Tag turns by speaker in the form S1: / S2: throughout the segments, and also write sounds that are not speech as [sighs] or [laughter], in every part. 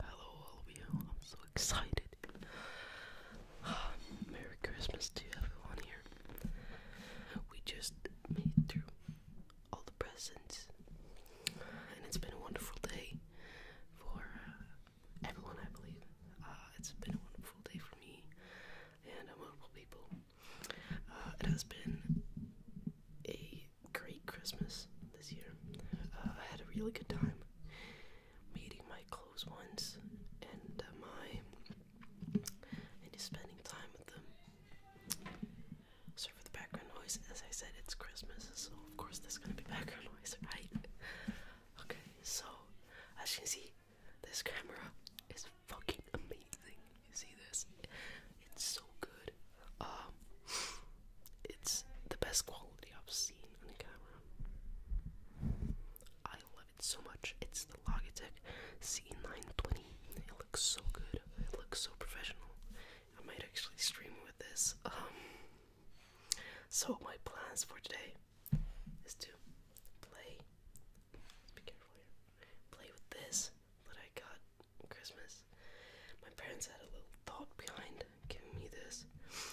S1: Hello, all I'm so excited. [sighs] Merry Christmas to everyone here. We just made through all the presents, and it's been a wonderful day for uh, everyone, I believe. Uh, it's been a wonderful day for me and multiple people. Uh, it has been a great Christmas this year. Uh, I had a really good time meeting my close ones and uh, my and just spending time with them. Sorry for the background noise. As I said, it's Christmas, so of course there's gonna be background noise, [laughs] right? Okay, so as you can see, this camera is fucking amazing. You see this? It's so good. Um, it's the best quality I've seen on the camera. I love it so much. It's the Logitech C920. It looks so good. It looks so professional. I might actually stream with this. Um, so my plans for today is to play. Be careful here. Play with this that I got Christmas. My parents had a little thought behind giving me this.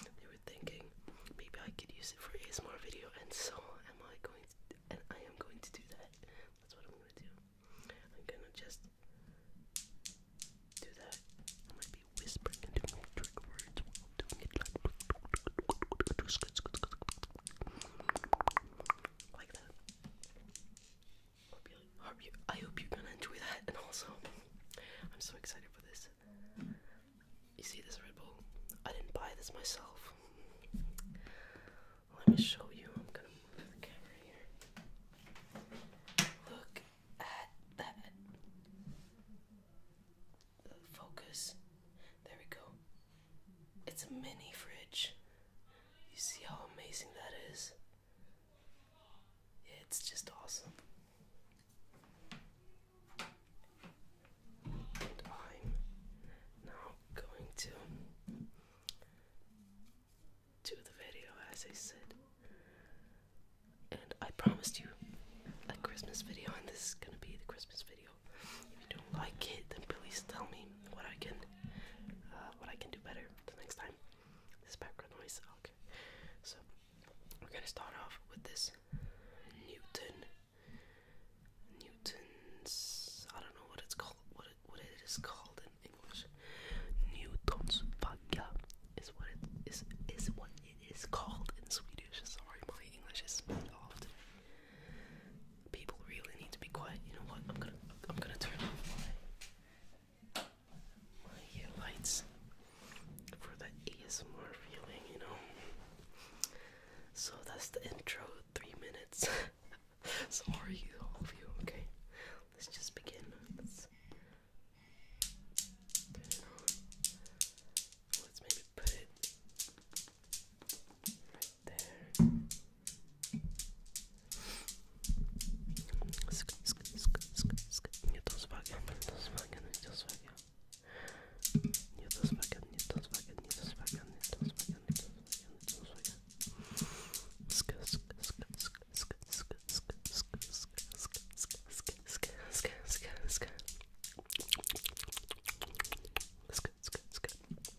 S1: They were thinking maybe I could use it for a ASMR video, and so am I going to, and I am going to do that. That's what I'm gonna do. I'm gonna just do that. I might be whispering doing words doing it like that. I hope you're gonna enjoy that. And also, I'm so excited for this. You see this Red Bull? I didn't buy this myself. Let me show you. I'm gonna move the camera here. Look at that. The focus. There we go. It's a mini fridge. You see how amazing that is? Yeah, it's just awesome. And I'm now going to do the video as I said. And I promised you a Christmas video, and this is gonna be the Christmas video. If you don't like it, then please tell me what I can what I can do better next time. This background noise. Okay, so we're gonna start off with this Newton. Newton's. I don't know what it's called. What it, what it is called in English. Newton's Fuck yeah. is what it is is what it is called in Swedish. Sorry, my English is off. today. People really need to be quiet. You know what? I'm gonna I'm gonna turn off my my lights for the ASMR viewing. You know. So that's the intro. Three minutes. [laughs] Sorry, all of you. Okay, let's just begin. Let's maybe put it Right there. Sk, sk, sk, sk, sk. Nie to z bagiem, nie to z bagiem, nie to z bagiem. Nie to z bagiem, nie to z bagiem, nie to z bagiem, nie to z bagiem, nie to z bagiem, nie to z bagiem. Sk, sk, sk, sk, sk, sk, sk, sk, sk, sk, sk, sk, sk, sk, sk, sk. Sk, sk, sk.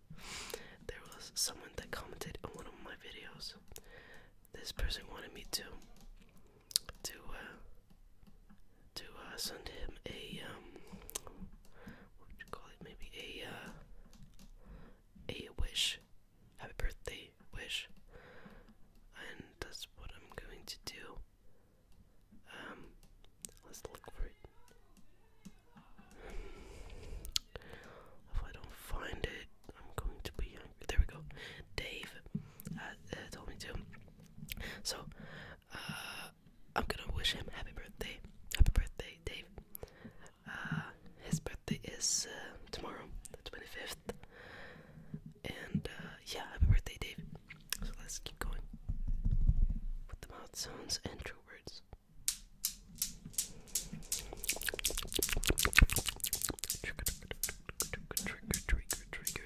S1: there was someone that commented on one of my videos. This person wanted me to to uh, to uh, send him a um, what would you call it? Maybe a uh, a wish, happy birthday wish, and that's what I'm going to do. Um, let's look for it. If I don't find it, I'm going to be There we go. Dave uh, uh told me to. So, uh, I'm gonna wish him happy birthday. Happy birthday, Dave. Uh, his birthday is tomorrow, the 25th. And yeah, happy birthday, Dave. So let's keep going with the mouth sounds and words. Trigger, trigger, trigger, trigger, trigger,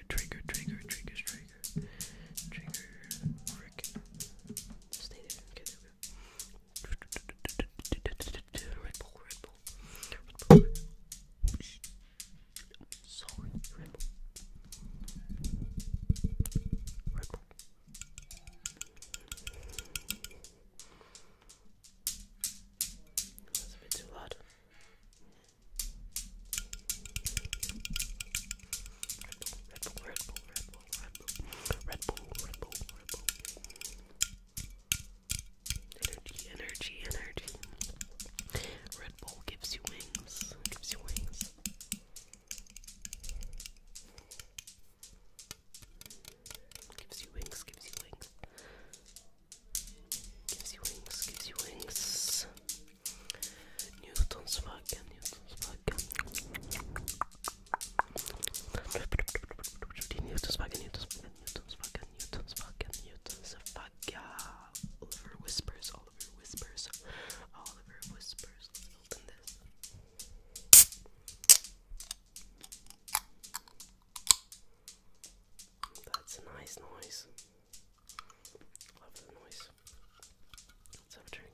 S1: trigger, trigger, trigger, trigger, frick. Stay there. Okay, there we go. Red Bull, Red Bull. Red Bull. Sorry, Red Bull. Red Bull. That's a bit too loud. Red Bull, Red Bull, Red Bull, Red Bull, Red Bull, Red Bull, Red Bull, Red Bull. Energy, energy, energy. Red Bull gives you wings, gives you wings. Gives you wings, gives you wings. Gives you wings, gives you wings. Newton's vodka, Newton's vodka. Newton's vodka, Newton's vodka, Newton's vodka, Newton's vodka, Newton's vodka. Oliver whispers, Oliver whispers, Oliver whispers. Let's open this. That's a nice noise. Love the noise. Let's have a drink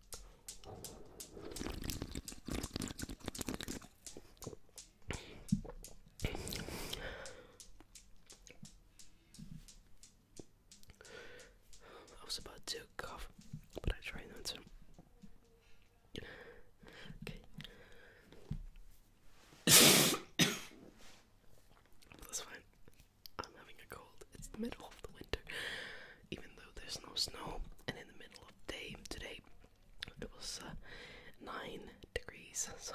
S1: I was about to cough, but I tried not to. Okay. [coughs] That's fine. I'm having a cold. It's the middle of the winter, even though there's no snow. And in the middle of the day today, it was uh, nine degrees. [laughs] So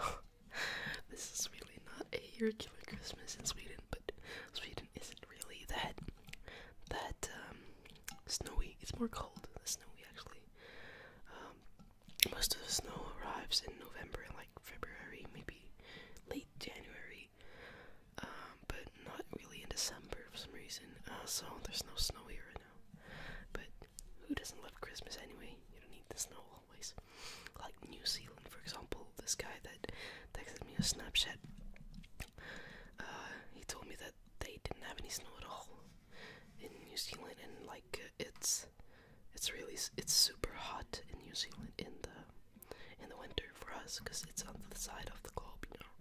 S1: this is really not a regular Christmas in Sweden, but Sweden isn't really that that um, snowy. It's more cold. The snowy actually. Um, most of the snow arrives in November like February, maybe late January um, but not really in December for some reason. Uh, so there's no snow here right now. But who doesn't love Christmas anyway? You don't need the snow always. Like New Zealand, for example, this guy that texted me a Snapchat. Uh, he told me that they didn't have any snow at all in New Zealand, and like uh, it's it's really it's super hot in New Zealand in the in the winter for us because it's on the side of the globe, you know,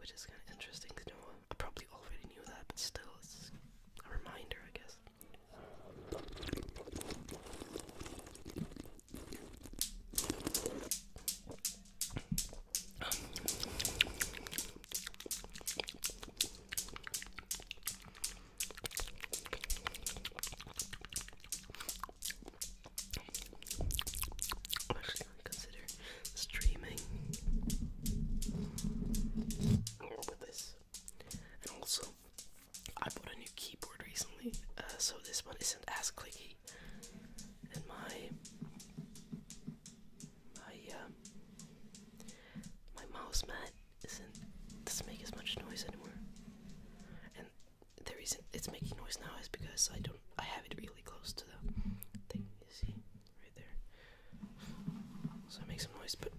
S1: which is kind of interesting to know. I probably already knew that, but still, it's a reminder, I guess. I'm actually gonna consider streaming with this. And also, I bought a new keyboard recently, uh, so this one isn't as clicky. And my my uh, my mouse mat isn't doesn't make as much noise anymore the reason it's making noise now is because I don't I have it really close to the thing, you see? Right there. So I make some noise, but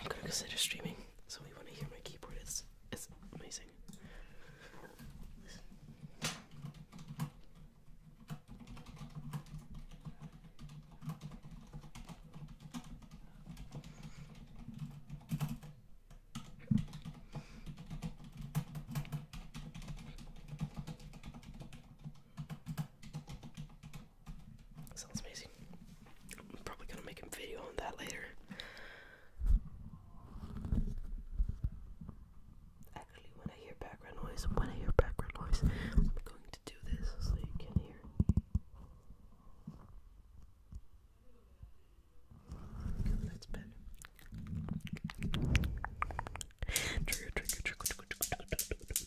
S1: I'm gonna consider streaming, so we wanna hear my keyboard, it's it's amazing. Sounds amazing. I'm probably gonna make a video on that later. Actually, when I hear background noise, when I hear background noise, I'm going to do this so you can hear. That's better. Trigger, trigger, trigger, trigger, trigger.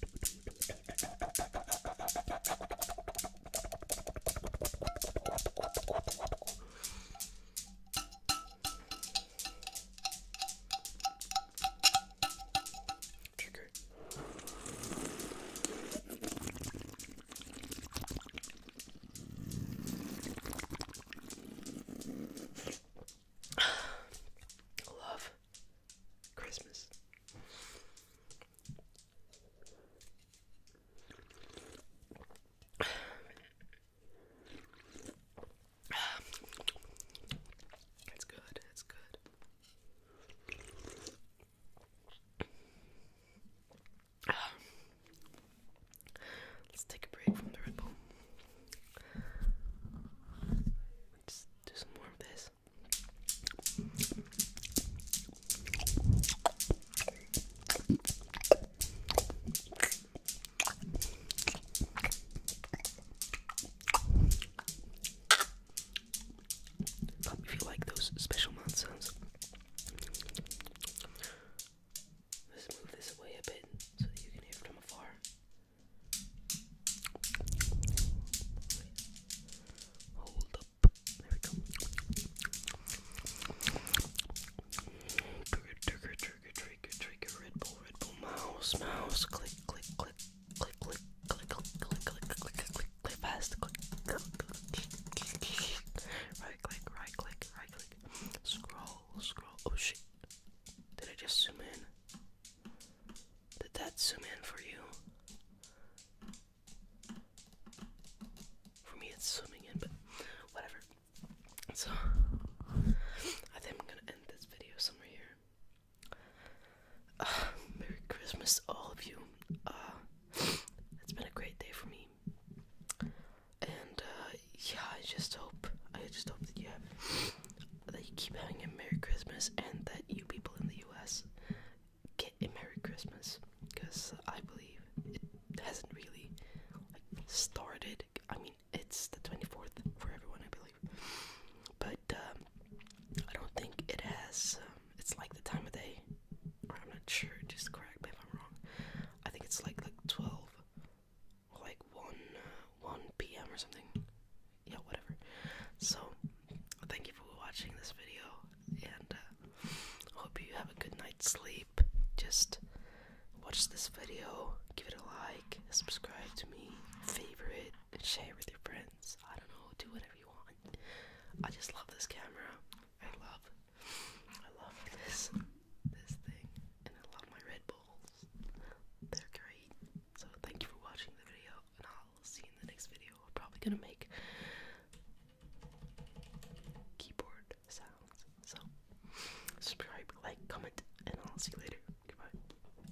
S1: Love Christmas. That's good. That's good. [sighs] Let's take a break from the Red Bull. Let's do some more of this. Um, if you like those special mouth let's move this away a bit so you can hear from afar. Hold up. There we go. Trigger, trigger, trigger, trigger, trigger. Red Bull, Red Bull, mouse, mouse. Click, click, click, click, click, click, click, click, click, click, click, fast, click, right click, right click, right click, scroll, scroll. Oh shit! Did I just zoom in? Did that zoom in for you? For me, it's zooming in, but whatever. So I think I'm gonna end this video somewhere here. [sighs] Merry Christmas, all of you. Uh, [sighs] it's been a great day for me, and uh, yeah, I just hope, I just hope that you have, [sighs] that you keep having a Merry Christmas, and that you people in the U.S. get a Merry Christmas, because I believe it hasn't really started. I mean, it's the 24th for everyone, I believe. But um, I don't think it has. Um, it's like the time of day. I'm not sure. Just correct me if I'm wrong. I think it's like like 12, like 1, uh, 1 p.m. or something. Yeah, whatever. So thank you for watching this video, and uh, hope you have a good night's sleep. Just watch this video, give it a like, subscribe to me, favorite, share with your friends. I don't know. Do whatever you want. I just love this camera. I love, I love this, this thing, and I love my Red Bulls. They're great. So thank you for watching the video, and I'll see you in the next video. probably gonna make keyboard sounds. So subscribe, like, comment, and I'll see you later. Goodbye.